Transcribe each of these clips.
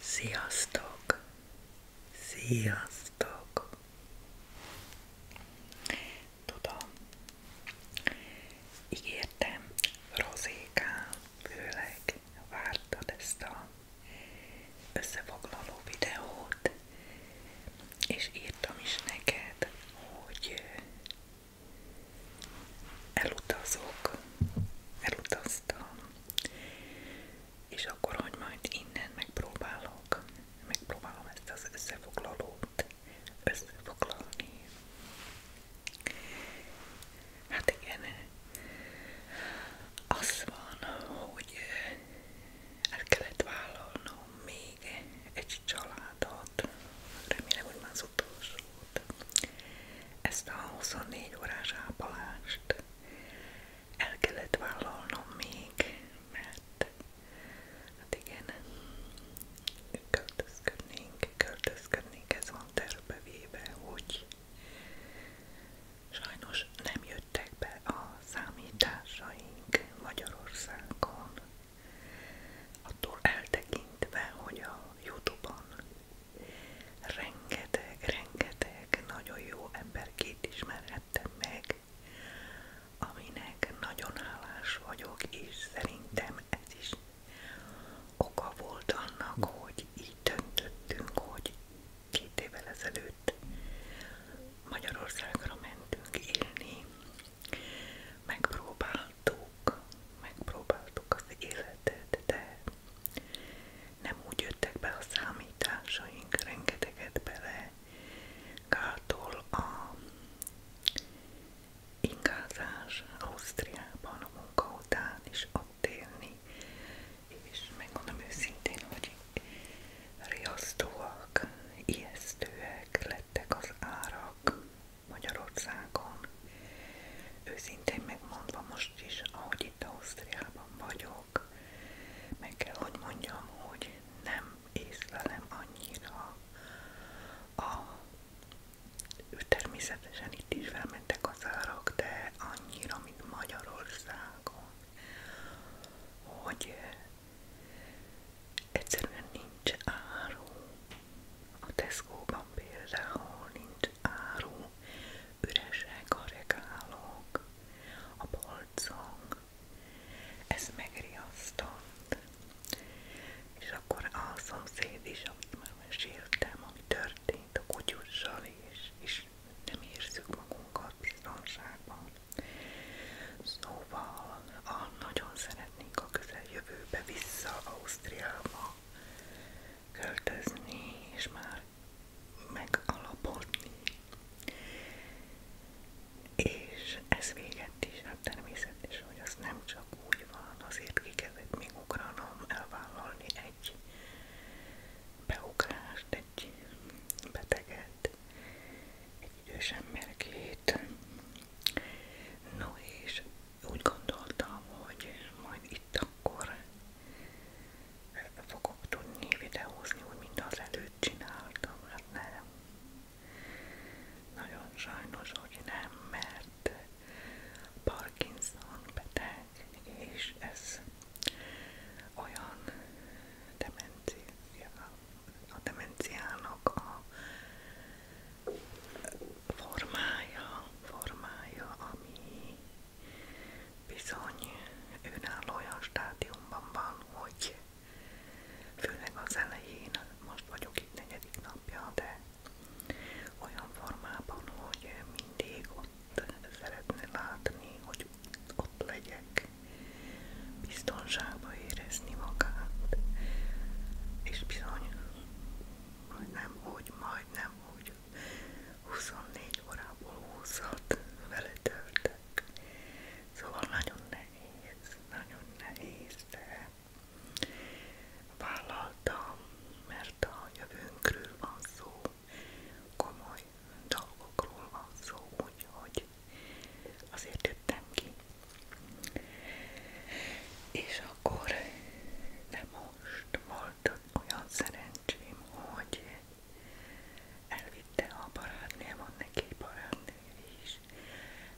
Sziasztok! Sziasztok! Tudom, ígértem Rozékán, főleg vártad ezt a összefoglaló videót, és írtam is neked, hogy elutazok, elutaztam, és akkor, hogy majd innen megpróbálok, megpróbálom ezt az összefoglalót összefoglalni. Hát igen, az van, hogy el kellett vállalnom még egy családot, remélem, hogy már az utolsót, ezt a 24 órás ápolást el kellett vállalnom még, mert hát igen, költözködnénk, költözködnénk, ez van tervevéve, hogy sajnos nem jöttek be a számításaink Magyarországon, Attól eltekintve, hogy a Youtube-on rengeteg, rengeteg nagyon jó emberkét ismerhettem meg, aminek nagyon hálás vagyok, és szerintem ez is oka volt annak, hogy így döntöttünk, hogy két évvel ezelőtt Magyarországra mentünk élni, Megpróbáltuk, megpróbáltuk az életet, de nem úgy jöttek be a számításaink, rengeteget bele gátol a ingázás Ausztriában a munka után is ott élni, és megmondom őszintén, hogy riasztóak, ijesztőek lettek az árak, Magyarországon. Őszintén megmondva most is, ahogy itt Ausztriában vagyok, meg kell, hogy mondjam, hogy nem észlelem annyira a természetesen itt is felmentek az árak, de annyira, mint Magyarországon, hogy egyszerűen nincs áru, a Tesco-ban például nincs áru, üresek a regálok, a polcok, ez megriasztott. És akkor a szomszéd is, amit már meséltem, ami történt a kutyussal, és, és nem érzük magunkat biztonságban. Szóval a nagyon szeretem szeretnék a közeljövőbe vissza Ausztriába költözni, és már megalapodni. És ez véget is, hát természetesen, hogy az nem csak úgy van, azért ki kellett még ugranom, elvállalni egy beugrást, egy beteget, egy idős emberkét. No és úgy gondoltam, hogy majd itt akkor eh, fogok tudni videózni, úgy mint az előtt csináltam, hát nem. Nagyon sajnos, hogy nem, mert Parkinson beteg, és ez olyan demencia, a demenciának a formája, formája, ami bizony önálló olyan stádiumban van, hogy főleg az elején, most vagyok itt negyedik napja, de olyan formában, hogy mindig ott szeretne látni, hogy ott legyek, biztonságban érezni magát, és bizony hogy nem úgy, majdnem úgy 24 órából 20-at vele törtek. Szóval nagyon nehéz, nagyon nehéz, de vállaltam, mert a jövőnkről van szó, komoly dolgokról van szó, úgyhogy azért jöttem ki és akkor, de most volt olyan szerencsém, hogy elvitte a barátném, van neki barátnő is,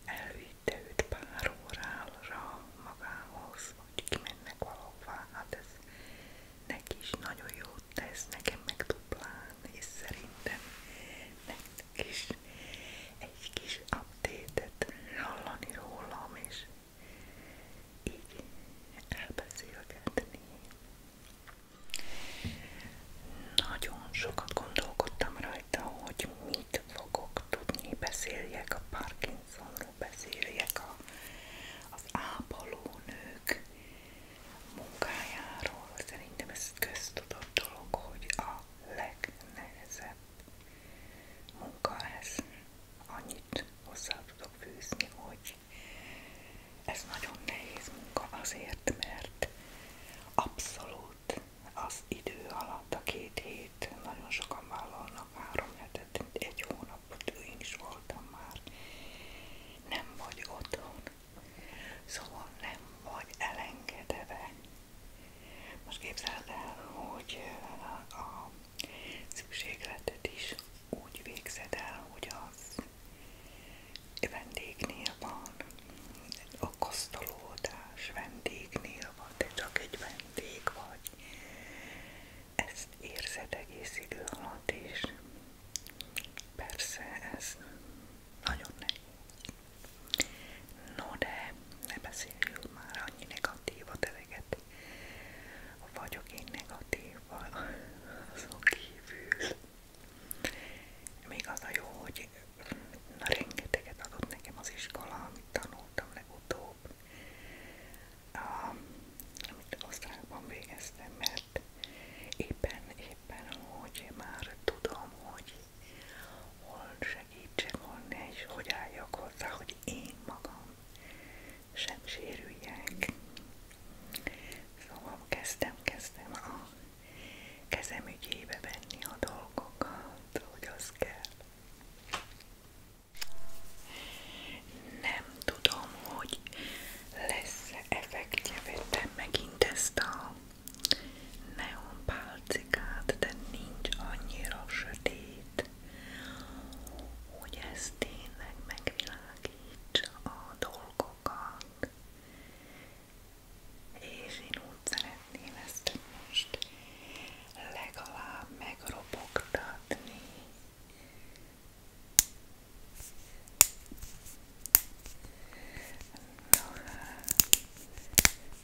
elvitte őt pár órára magához, hogy kimennek valahová, hát ez neki is nagyon jót tesz, nekem meg duplán, és szerintem nektek is egy kis update-et hallani rólam, és így elbeszélgetni. Nagyon sokat gondolkodtam rajta, hogy mit fogok tudni, beszéljek a Parkinsonról, beszéljek a, az ápolónők munkájáról. Szerintem ez köztudott dolog, hogy a legnehezebb munka ez. Annyit hozzá tudok fűzni, hogy ez nagyon nehéz munka azért, mert abszolút az idő alatt, a két hét, nagyon sokan vállalnak három hetet, egy hónapot, én is voltam már, nem vagy otthon, szóval nem vagy elengedve most képzeld el, hogy a szükségletet is úgy végzed el, hogy az vendégnél van, a kosztolódás vendégnél van, te csak egy vendég vagy. Ezt érzed egész idő alatt, és persze ez nagyon nehéz. No de, ne beszéljünk már annyi negatívat eleget. Vagyok én negatív azon kívül. Még az a jó, hogy na, rengeteget adott nekem az iskola, amit tanultam legutóbb. A, amit osztrákban végeztem, mert éppen, éppen, hogy már tudom, hogy hol segítsek, hol ne, és hogy álljak hozzá, hogy én magam sem sérüljek. Szóval kezdtem, kezdtem a kezem ügyébe venni a dolgokat, hogy az kell. Nem tudom, hogy lesz effektje, vettem megint ezt a neon pálcikát, de nincs annyira sötét, hogy ez tényleg megvilágítsa a dolgokat. És én úgy szeretném ezt most legalább megropogtatni. Na, hát.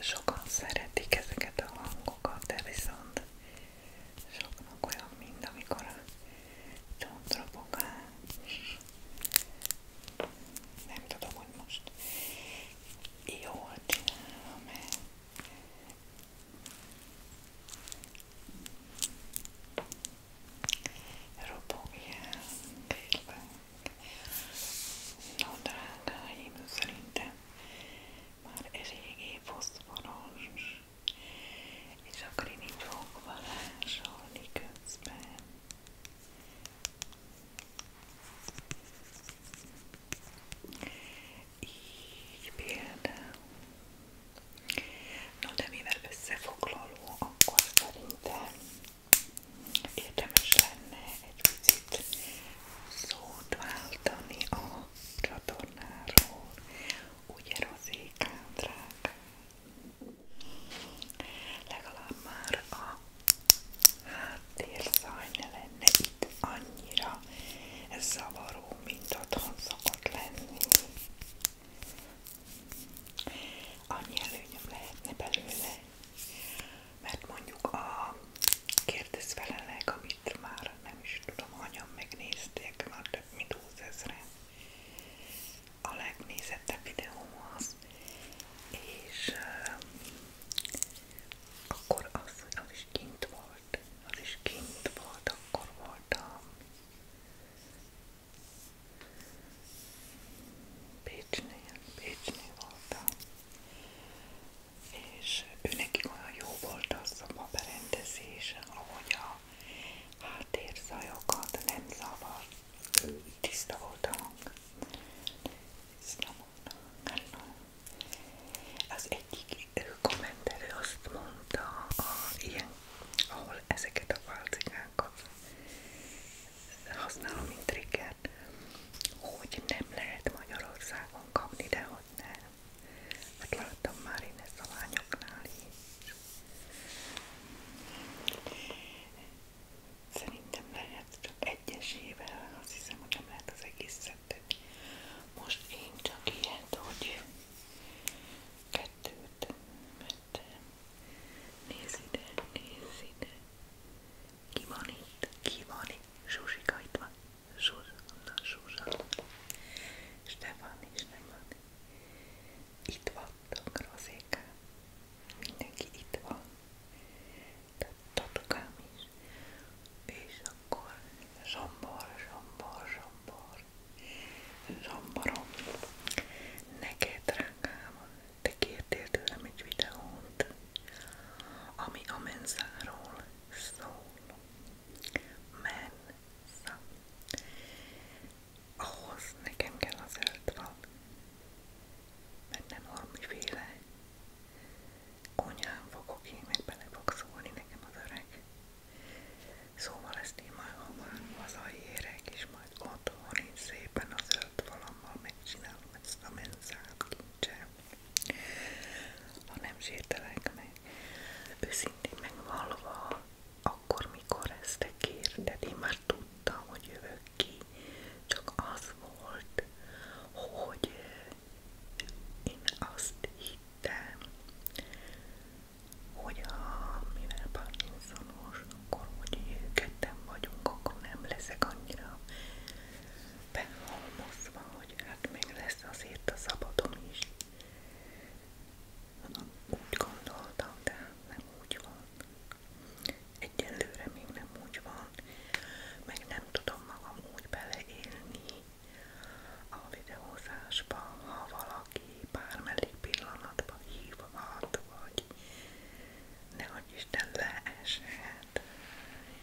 sokan szeretik ezeket a hangokat, de viszont soknak olyan, mint amikor a csontrobogás. Nem tudom, hogy most jól csinálom-e. Robogjál, kérlek. No, drágáim, szerintem már eléggé foszforos, és akkor én így fogok varázsolni közben. Így például. No, de mivel összefoglaló, akkor szerintem érdemes lenne egy picit szót váltani a csatornáról. Ugye rozékám, drágám? Legalább már a háttérzaj ne lenne itt annyira zavaró, mint otthon szokott lenni. Annyi előnyöm lehetne belőle, mert mondjuk a kérdezfelelek, ami itt már nem is tudom, hányan megnézték, már több mint 20 ezeren. A legnézettebb videóm az, és uh, akkor az, az is kint volt, az is kint volt, akkor voltam Pécsnél, Pécsnél voltam, és őnekik olyan jó volt az a berendezés, ahogy a háttérzajokat nem zavar, tiszta volt a hang. Tiszta volt a hang. Az egyik kommentelő azt mondta, a, ilyen, ahol ezeket a válcikákat használom, mint triggert, hogy nem lehet Magyarországon kapni, de hogy nem. Hát láttam már én ezt a lányoknál is. Szerintem lehet csak egyesével, azt hiszem, hogy nem lehet az egész szettet. Most én csak ilyet, hogy kettőt vettem. Nézd ide, nézd ide. Ki van itt? Ki van itt? Zsuzsika itt van. Zsuzsanna, Zsuzsanna. Stefani, Stefani. Itt vannak, Rozékám. Mindenki itt van. Tehát tatukám is. És akkor zsombor, zsombor, zsombor. Zsomborom. Neked, drágám, te kértél tőlem egy videót, ami a menzáról szól, mensz. Ahhoz nekem kell az eltva, benne valamiféle konyhán fogok én, meg bele fog szólni nekem az öreg. Szóval ezt én majd hamar hazaérek, és majd otthon én szépen az ölt valammal megcsinálom ezt a menzát nincsen. Ha nem sértelek meg, őszintén megvalva, akkor, mikor ezt te kérted, én már tudtam, hogy jövök ki, csak az volt, hogy én azt hittem, hogy ha mivel Parkinsonos, akkor hogy ketten vagyunk, akkor nem leszek annyira behalmozva, hogy hát még lesz azért a szabadon is. Úgy gondoltam, de nem úgy van. Egyelőre még nem úgy van, meg nem tudom magam úgy beleélni a videózásba, ha valaki bármelyik pillanatban hívhat, vagy ne Isten leeshet, lehet,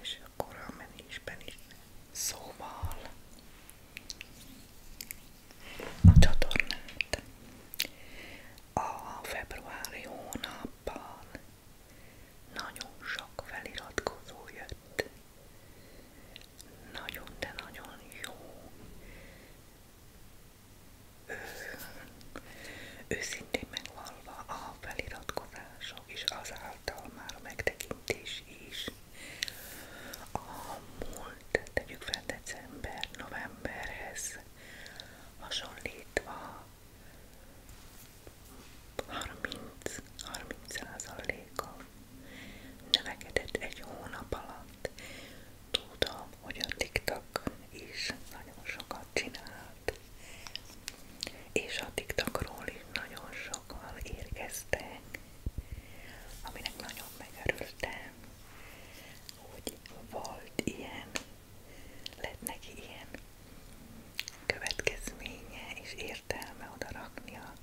és akkor a menésben is. Szóval a csatornát a februári hónapban nagyon sok feliratkozó jött. Nagyon, de nagyon jó. Ő, őszintén megvalva a feliratkozások is az által már a megtekintés is. A múlt, tegyük fel december, novemberhez hasonlítva 30-30%-kal növekedett egy hónap alatt. Tudom, hogy a TikTok is nagyon sokat csinált és a TikTokról is nagyon sokan érkeztek, aminek nagyon megörültem, hogy volt ilyen, lett neki ilyen következménye és értelme oda rakni a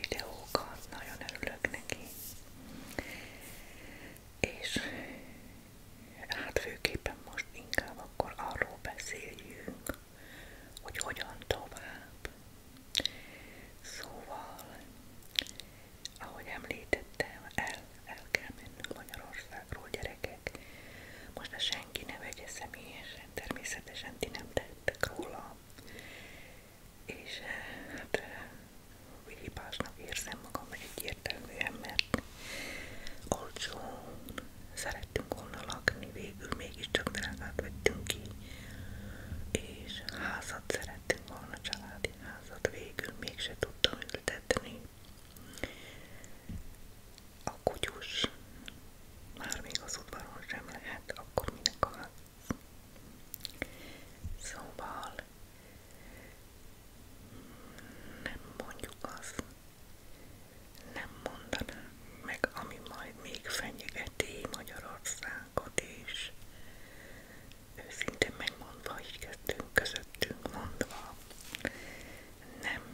videókat, nagyon örülök neki. És hát főképpen most inkább akkor arról beszéljünk, hogy hogyan tovább. Szóval, ahogy említettem, el, el kell mennünk Magyarországról, gyerekek. Most a senki ne vegye személyesen, természetesen ti nem tettek róla. És hát hibásnak érzem magam egyértelműen, mert olcsón szerettünk volna lakni, végül mégiscsak drágát vettünk ki, és házat szerettünk volna, családi házat, végül mégse tudtam ültetni. A kutyus már még az udvaron sem lehet, akkor minek a Szóval nem mondjuk azt, nem mondanám meg, ami majd még fenyegeti Magyarországot is. Őszintén megmondva, így kettőnk közöttünk mondva, nem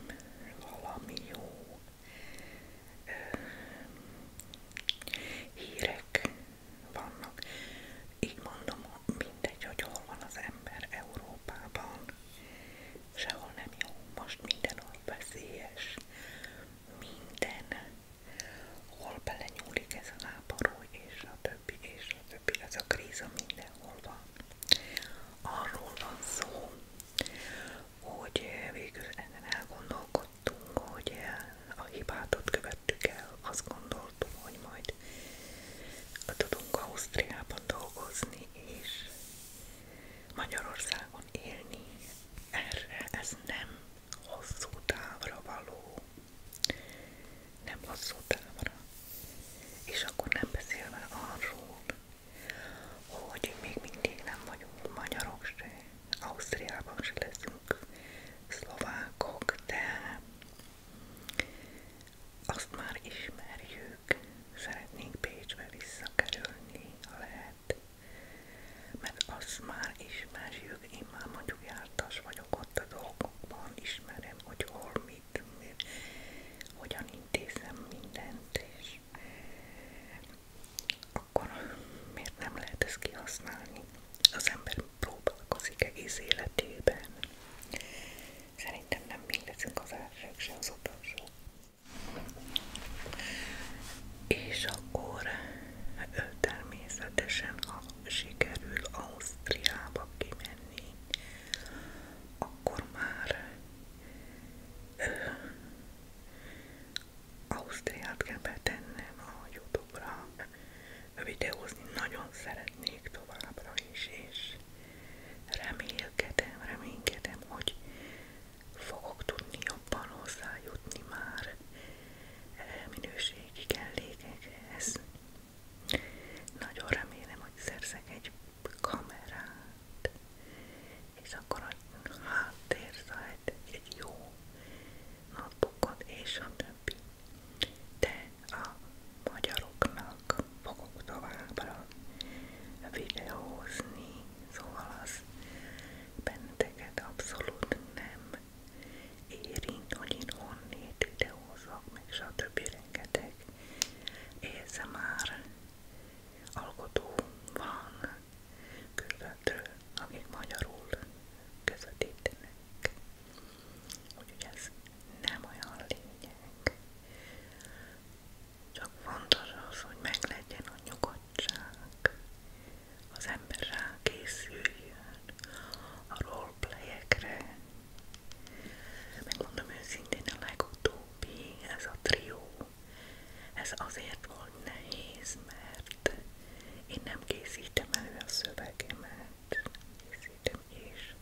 valami jó ö, hírek vannak. Így mondom, mindegy, hogy hol van az ember Európában, sehol nem jó, most mindenhol veszélyes, minden, hol belenyúlik ez a lábarúj, és a többi, és a többi, ez a kríza mindenhol van. Arról van szó, hogy végül ezen elgondolkodtunk, hogy a hibátot követtük el, azt gondoltuk, hogy majd tudunk Ausztriában dolgozni, és Magyarországon élni, erre ez nem hosszú távra való. Nem hosszú távra. És akkor nem beszélve arról, hogy még mindig nem vagyunk magyarok se, Ausztriában se leszünk szlovákok, de azt már ismerjük, ők szeretnénk Pécsbe visszakerülni, ha lehet, mert azt már ismerjük, én már mondjuk jártas vagyok ott a dolgokban, ismerem, hogy hol mit, mit hogyan intézem mindent, és akkor miért nem lehet ezt kihasználni? Az ember próbálkozik egész életében. Szerintem nem mindezünk az elsők, se az utolsó. És akkor hát ő természetesen, ha sikerül Ausztriába kimenni, akkor már ő, Ausztriát kell betennem a Youtube-ra videózni. Nagyon szeretnék továbbra is, és remélkedem, reménykedem, hogy fogok tudni jobban hozzájutni már e, minőségi kellékekhez. Nagyon remélem, hogy szerzek egy kamerát, és akkor a háttérzájt egy jó notebookot és a többi. De a magyaroknak fogok továbbra videózni Szóval az benneteket abszolút nem érint, hogy én honnét videózok, meg stb. rengeteg már alkotó van körülbelül, akik magyarul közvetítenek. Úgyhogy ez nem olyan lényeg. Csak fontos az, hogy meglegyen a nyugodtság, az ember rákészüljön a roleplayekre. Megmondom őszintén, a legutóbbi, ez a trió, ez azért volt nehéz, mert én nem készítem elő a szövegemet, készítem és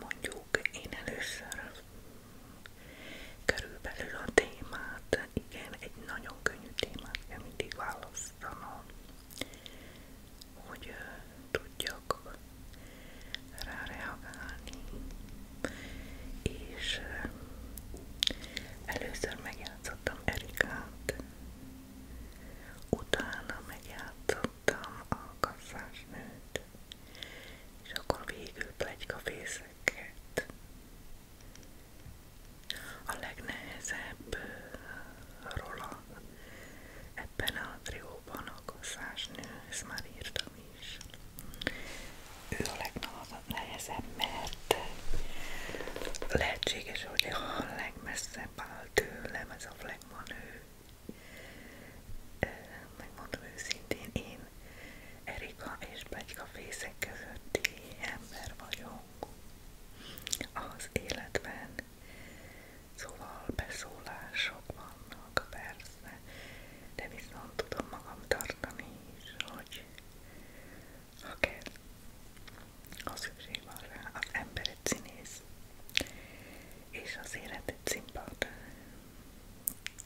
mondjuk én először körülbelül a témát, igen, egy nagyon könnyű témát kell mindig hogy tudjak rá és először megjátszottam Erikát, utána megjátszottam a kasszásnőt, és akkor végül plegykafészre ezeket. A legnehezebb uh, róla ebben a trióban a koszásnő, ezt már írtam is. Ő a legnehezebb, mert lehetséges, hogy a legmesszebb áll tőlem ez a flagmanő. Megmondom őszintén, én Erika és Begyka fészek közötti ember vagyok az életben. Szóval beszólások vannak, persze, de viszont tudom magam tartani is, hogy ha kell, ha szükség van rá, az ember egy színész, és az élet egy színpad,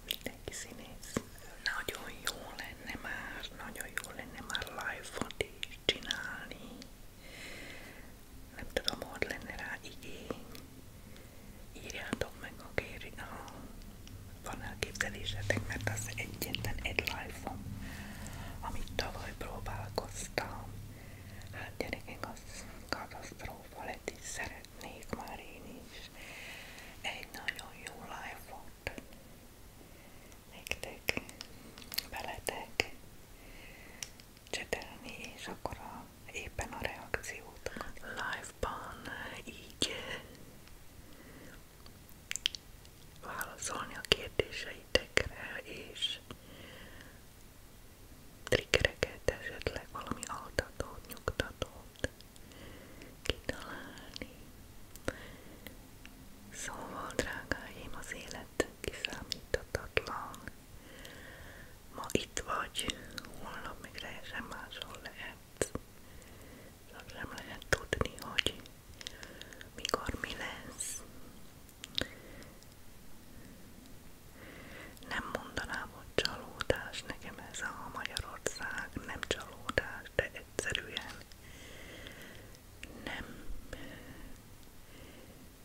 mindenki színész. Nagyon jó lenne már, nagyon jó lenne már live-ot is csinálni. Nem tudom, hogy lenne rá igény. Írjátok meg a kéri, ha van elképzelésetek, mert az egyetlen egy live-om, amit tavaly próbálkoztam. Hát gyerekek, az katasztrófa lett, és szeretnék már én is és egy nagyon jó live-ot nektek, veletek csetelni, és akkor a, éppen a reakciót live-ban így válaszolni a kérdéseitekre, és triggereket, esetleg valami altatót, nyugtatót kitalálni. Szóval, drágáim, az élet kiszámíthatatlan. Ma itt vagy, holnap még teljesen máshol lehet. Szóval nem lehet tudni, hogy mikor mi lesz. Nem mondanám hogy csalódás, nekem ez a Magyarország nem csalódás, de egyszerűen nem,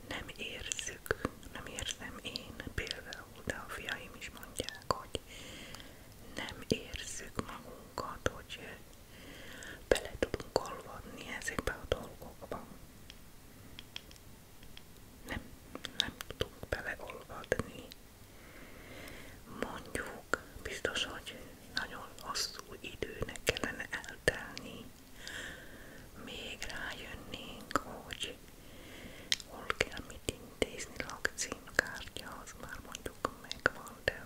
nem érzük, nem érzem én például, de a fiaim is mondják, hogy nem érzük magunkat, hogy bele tudunk olvadni ezekbe a dolgokba. Nem, nem tudunk beleolvadni Mondjuk, biztos, hogy nagyon hosszú időnek kellene eltelni, még rájönnénk, hogy hol kell mit intézni, lakcímkártya, az már mondjuk megvan, de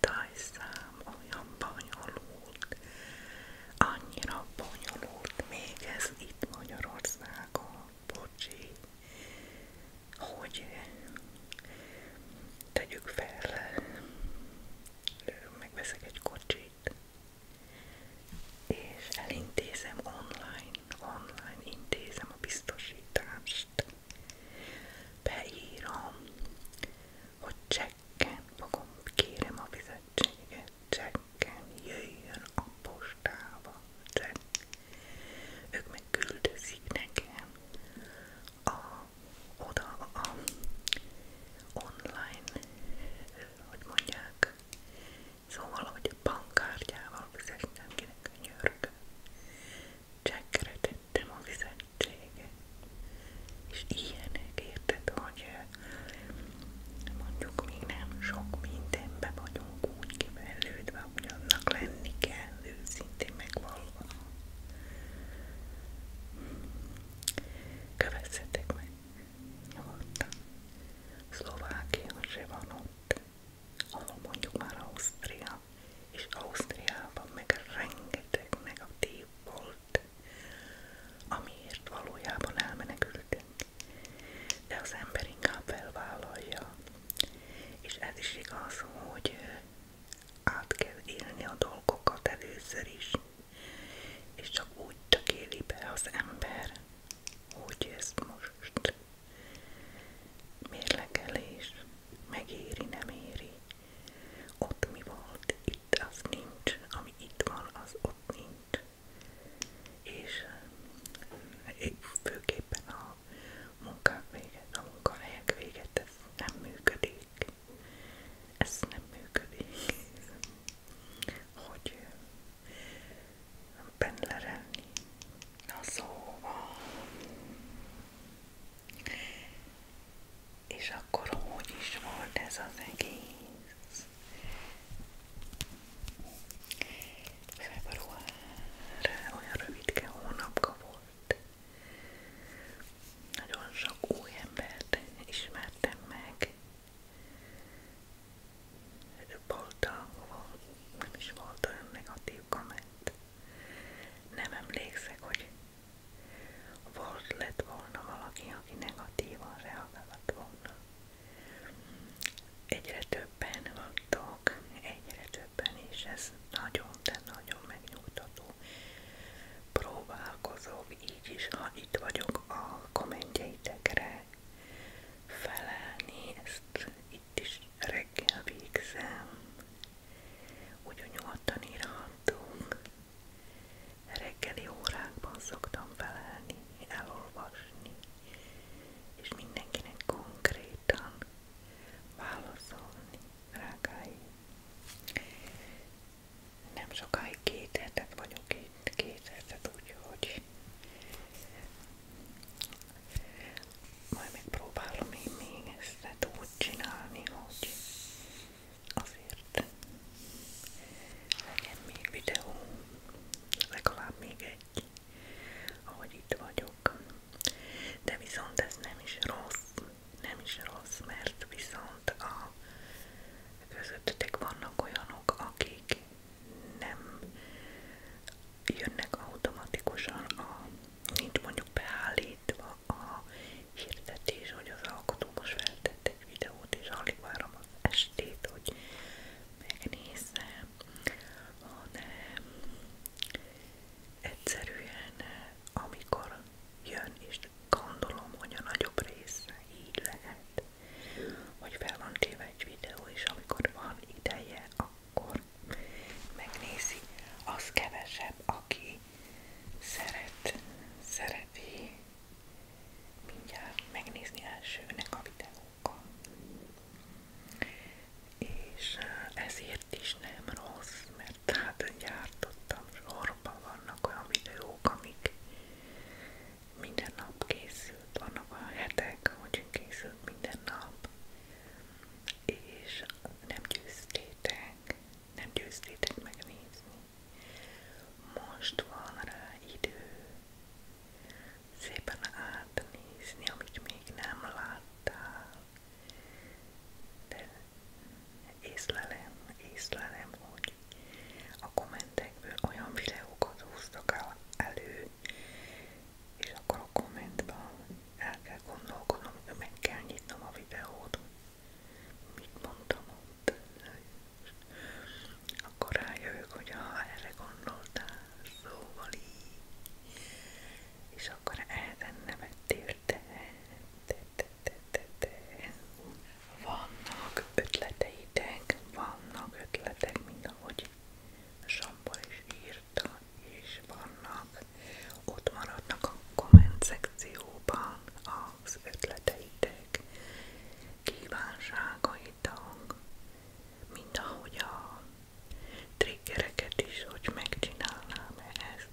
tájszám olyan bonyolult, annyira bonyolult még ez itt Magyarországon, bocsi, hogy tegyük fel, megveszek egy kocsit, és elintézem online, online intézem a biztosítást. Beírom, hogy csekken fogom, kérem a fizetséget, csekken jöjjön a postába, csekk. Ők meg küldözik nekem a, oda a, a online, hogy mondják, szóval, hogy a bankkártyával fizettem kinek a nyörg. Csekkre tettem a fizetséget. És ilyenek érted, hogy eh, mondjuk még nem sok mindenben vagyunk úgy kivellődve, hogy annak lenni kell, őszintén megvalva. Kövessetek meg, nyugodtan. Szlovákia se van ott, ahol mondjuk már Ausztria, és Ausztriában meg rengeteg negatív volt, amiért valójában elmenekültünk. De az ember inkább felvállalja és ez is igaz, hogy át kell élni a dolgokat először is, és csak úgy csak éli be az ember, hogy ezt most mérlegelés megéri, nem éri. Ott mi volt, itt az nincs, ami itt van, az ott nincs. És főképpen a a munka véget, a munkahelyek véget, ez nem működik. Ez nem működik. Hogy pendlerelni. Na szóval... És akkor hogy is volt ez az egész? február olyan rövidke hónapka volt. Nagyon sok új embert ismertem meg. Volt a, nem is volt olyan negatív komment. Nem emlékszek, hogy volt lett volna valaki, aki negatívan reagált volna egyre többen vannak, egyre többen, és ez nagyon, de nagyon megnyugtató. Próbálkozok így is, ha itt vagyok a kommentjeitekre felelni, ezt itt is reggel végzem, úgy nyugodtan írhatunk. Reggeli órákban szoktam felelni, elolvasni és mindenkinek konkrétan válaszolni, drágáim. Nem sokáig két hetet vagyok itt, két hetet úgyhogy majd megpróbálom én még ezt úgy csinálni, hogy azért legyen még videó, legalább még egy ahogy itt vagyok. De viszont ez nem is rossz, nem is rossz, mert viszont a közöttetek vannak olyanok, akik nem jönnek automatikusan a, nincs mondjuk beállítva a hirdetés, hogy az alkotó most feltett egy videót, és alig várom az estét, hogy megnézze hanem egyszerűen amikor jön és gondolom, hogy a nagyobb része így lehet, hogy fel van téve egy videó, és amikor van ideje, akkor megnézi, az kevesebb, aki szeret, szereti mindjárt megnézni elsőnek a videót homokon. És eh, ezért is nem rossz, mert hát gyártottam, sorban vannak olyan videók, amik minden nap készült, vannak a hetek, hogy készült minden nap, és nem győztétek, nem győztétek megnézni. Most van rá idő, szépen átnézni, amit még nem láttál. De észlelem, észlelem, hogy a kommentekből olyan videókat húztak elő, és akkor a kommentben el kell gondolkodnom, hogy meg kell nyitnom a videót, mit mondtam ott, akkor rájövök, hogy ha erre gondoltál, szóval így. És akkor ezen nevettél te. Te, te, te, te, te. Vannak ötleteitek, vannak ötletek, mint ahogy Sambor is írta, és vannak, ott maradnak a komment szekcióban az ötleteitek, kívánságaitok, mint ahogy a triggereket is, hogy megcsinálnám-e ezt.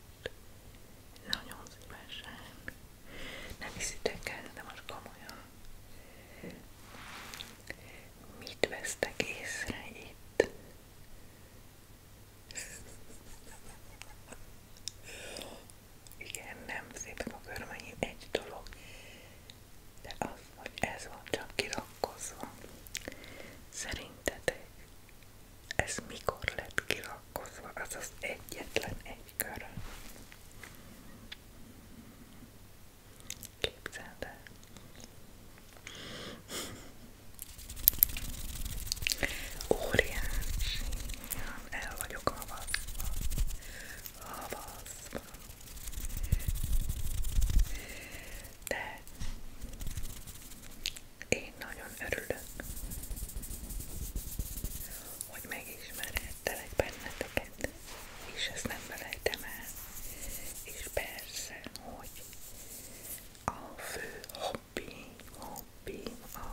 Nagyon szívesen. Nem hiszitek el, de most komolyan. Mit vesztek észre itt? Igen, nem szépek a körmeim, egy dolog de az, hogy ez van csak kirakkozva. Szerintetek ez mikor lett kirakkozva? Az az egyetlen egy körön. Képzeld el. Óriási. El vagyok havaszva. Havaszva. De én nagyon örülök, hogy megismerhettelek benneteket, és ezt nem felejtem el. És persze, hogy a fő hobbi, hobbi a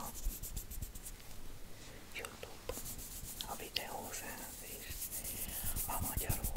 Youtube, a videózás és a magyarok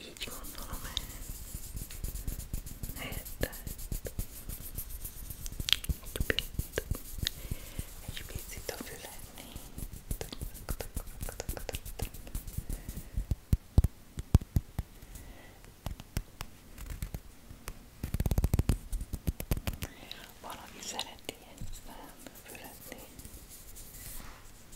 Így gondolom el. Lehetett. Egy picit a fülednéd. Valami szereti ezt nem, füledni.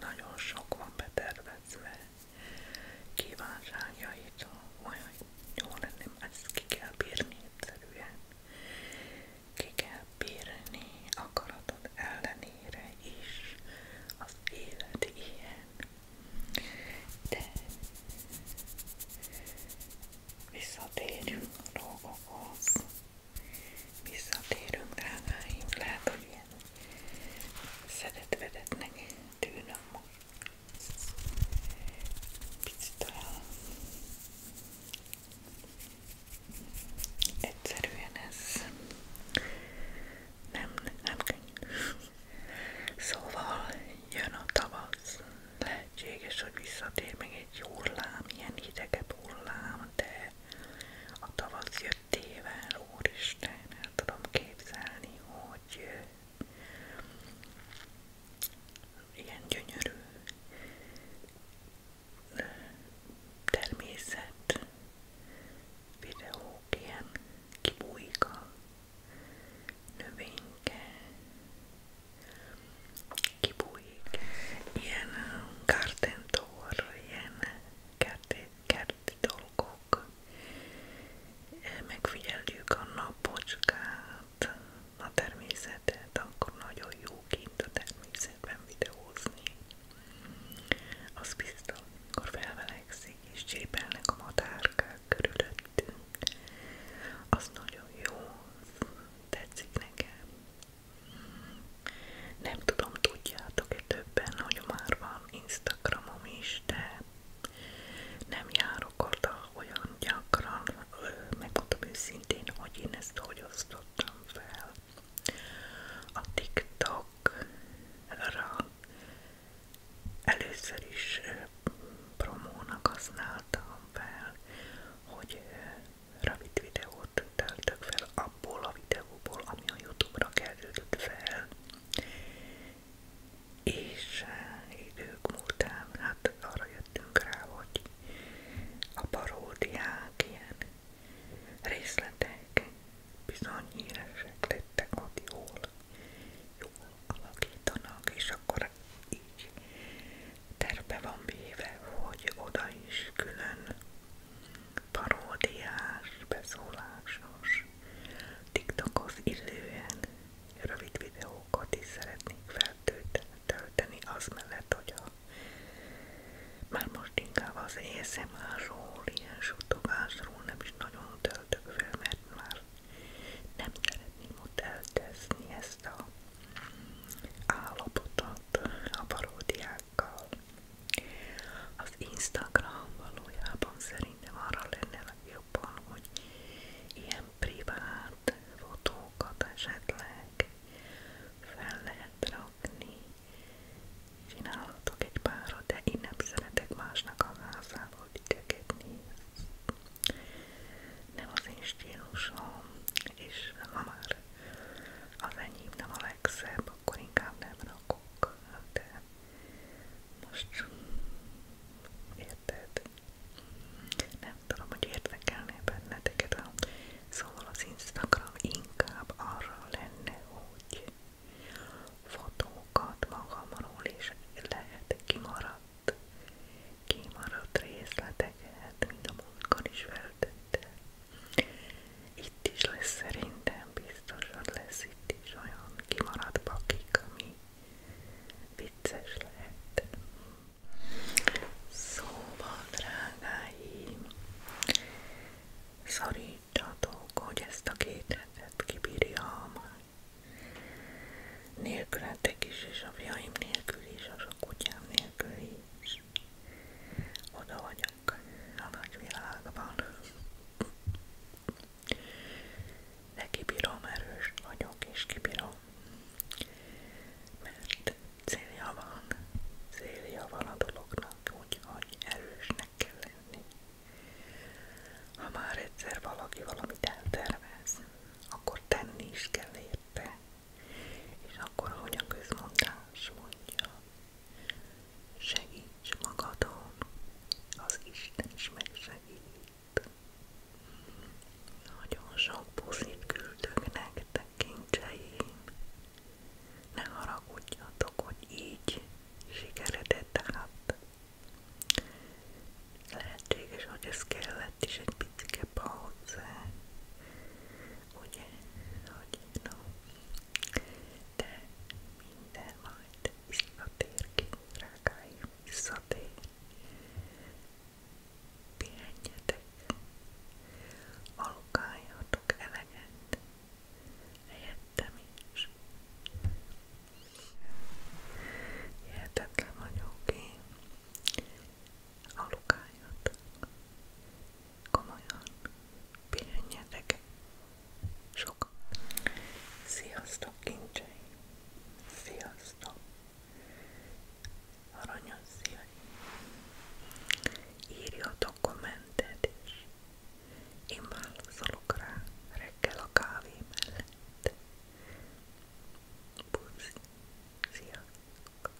nagyon sok van betervezve kívánságaitól, olyan jó lenne, ezt ki kell bírni egyszerűen. Ki kell bírni akaratod ellenére is, az élet ilyen. De visszatérjünk a dolgokhoz. Visszatérünk drágáim, lehet, hogy ilyen szedetvedetnek tűnöm most. Picit talán egyszerűen ez nem, nem könnyű. Szóval jön a tavasz, lehetséges, hogy visszatér még egy hullám, ilyen hidegebb hullám, de a tavasz jöttével, úristen, el tudom képzelni, hogy ilyen gyönyörű természet videók, ilyen kibújik a növényke, kibújik, ilyen gardentor, um, ilyen kerti, kerti dolgok. Eh, megfigyeljük a napocskát, a természetet, akkor nagyon jó kint a természetben videózni. Az biztos, akkor felvelegszik és csépelnek a madárkák körülöttünk. Az nagyon jó, tetszik nekem. Nem tudom, tudjátok-e többen, hogy már van Instagramom is, de nem járok oda olyan gyakran, megmondom őszintén, hogy én ezt hogy osztottam fel. A TikTokra először is promónak használtam fel, hogy Ravid videót töltök fel abból a videóból, ami a Youtube-ra került fel, és eh, idők múltán hát arra jöttünk rá, hogy a paródiák ilyen részletek bizony híresek lettek, hogy jól, jól alakítanak, és akkor így terve van véve, hogy oda is külön paródiás, beszólásos, tiktokhoz illően rövid videókat is szeretnék feltölteni az mellett, hogy a már most inkább az ASMR-ról, ilyen suttogásról nem is nagyon töltök fel, mert már nem szeretném ott eltezni ezt a állapotot a paródiák valóságokkal. Az Instagram valójában szerintem arra lenne legjobban, hogy ilyen privát fotókat esetleg fel lehet rakni. Csinálhatok egy párat, de én nem szeretek másnak a házával idegetni. Nem az én stílusom, és ha az enyém nem a legszebb, akkor inkább nem rakok, de most érted? Nem tudom, hogy érdekelné benneteket, szóval az Instagram inkább arra lenne, hogy fotókat magamról is lehet kimaradt, kimaradt részleteket, mint a múltkor is feltettem, itt is lesz szerintem, biztos, lesz itt is olyan kimaradt pakik, ami vicces lehet. Szóval, drágáim, szorítsatok, hogy ezt a két hetet kibírjam. Nélkületek is, és a fiaim nélkül is, a kutyám nélkül is. Oda vagyok élünk a nagyvilágban. De kibírom erős vagyok, és kibírom. Mert célja van, célja van a dolognak, úgyhogy erősnek kell lenni. Ha már egyszer valaki valamit eltervez, akkor tenni is kell érte, és akkor, ahogy a közmondás mondja, segíts magadon, az Isten is megsegít. Nagyon sok puszit küldök nektek, kincseim. Ne haragudjatok, hogy így sikeredett át. Lehetséges, hogy ez kellett is egy picike pauze. Ugye, hogy no? De minden majd visszatér ki, drágáim, visszatér. Pihenjetek, alukáljatok eleget, helyettem is. Hihetetlen vagyok én, alukáljatok, komolyan pihenjetek sok. Sziasztok kincseim! Sziasztok! Aranyos szíveim! Írjatok kommentet is! Én válaszolok rá reggel a kávé mellett. Puszi! Sziasztok!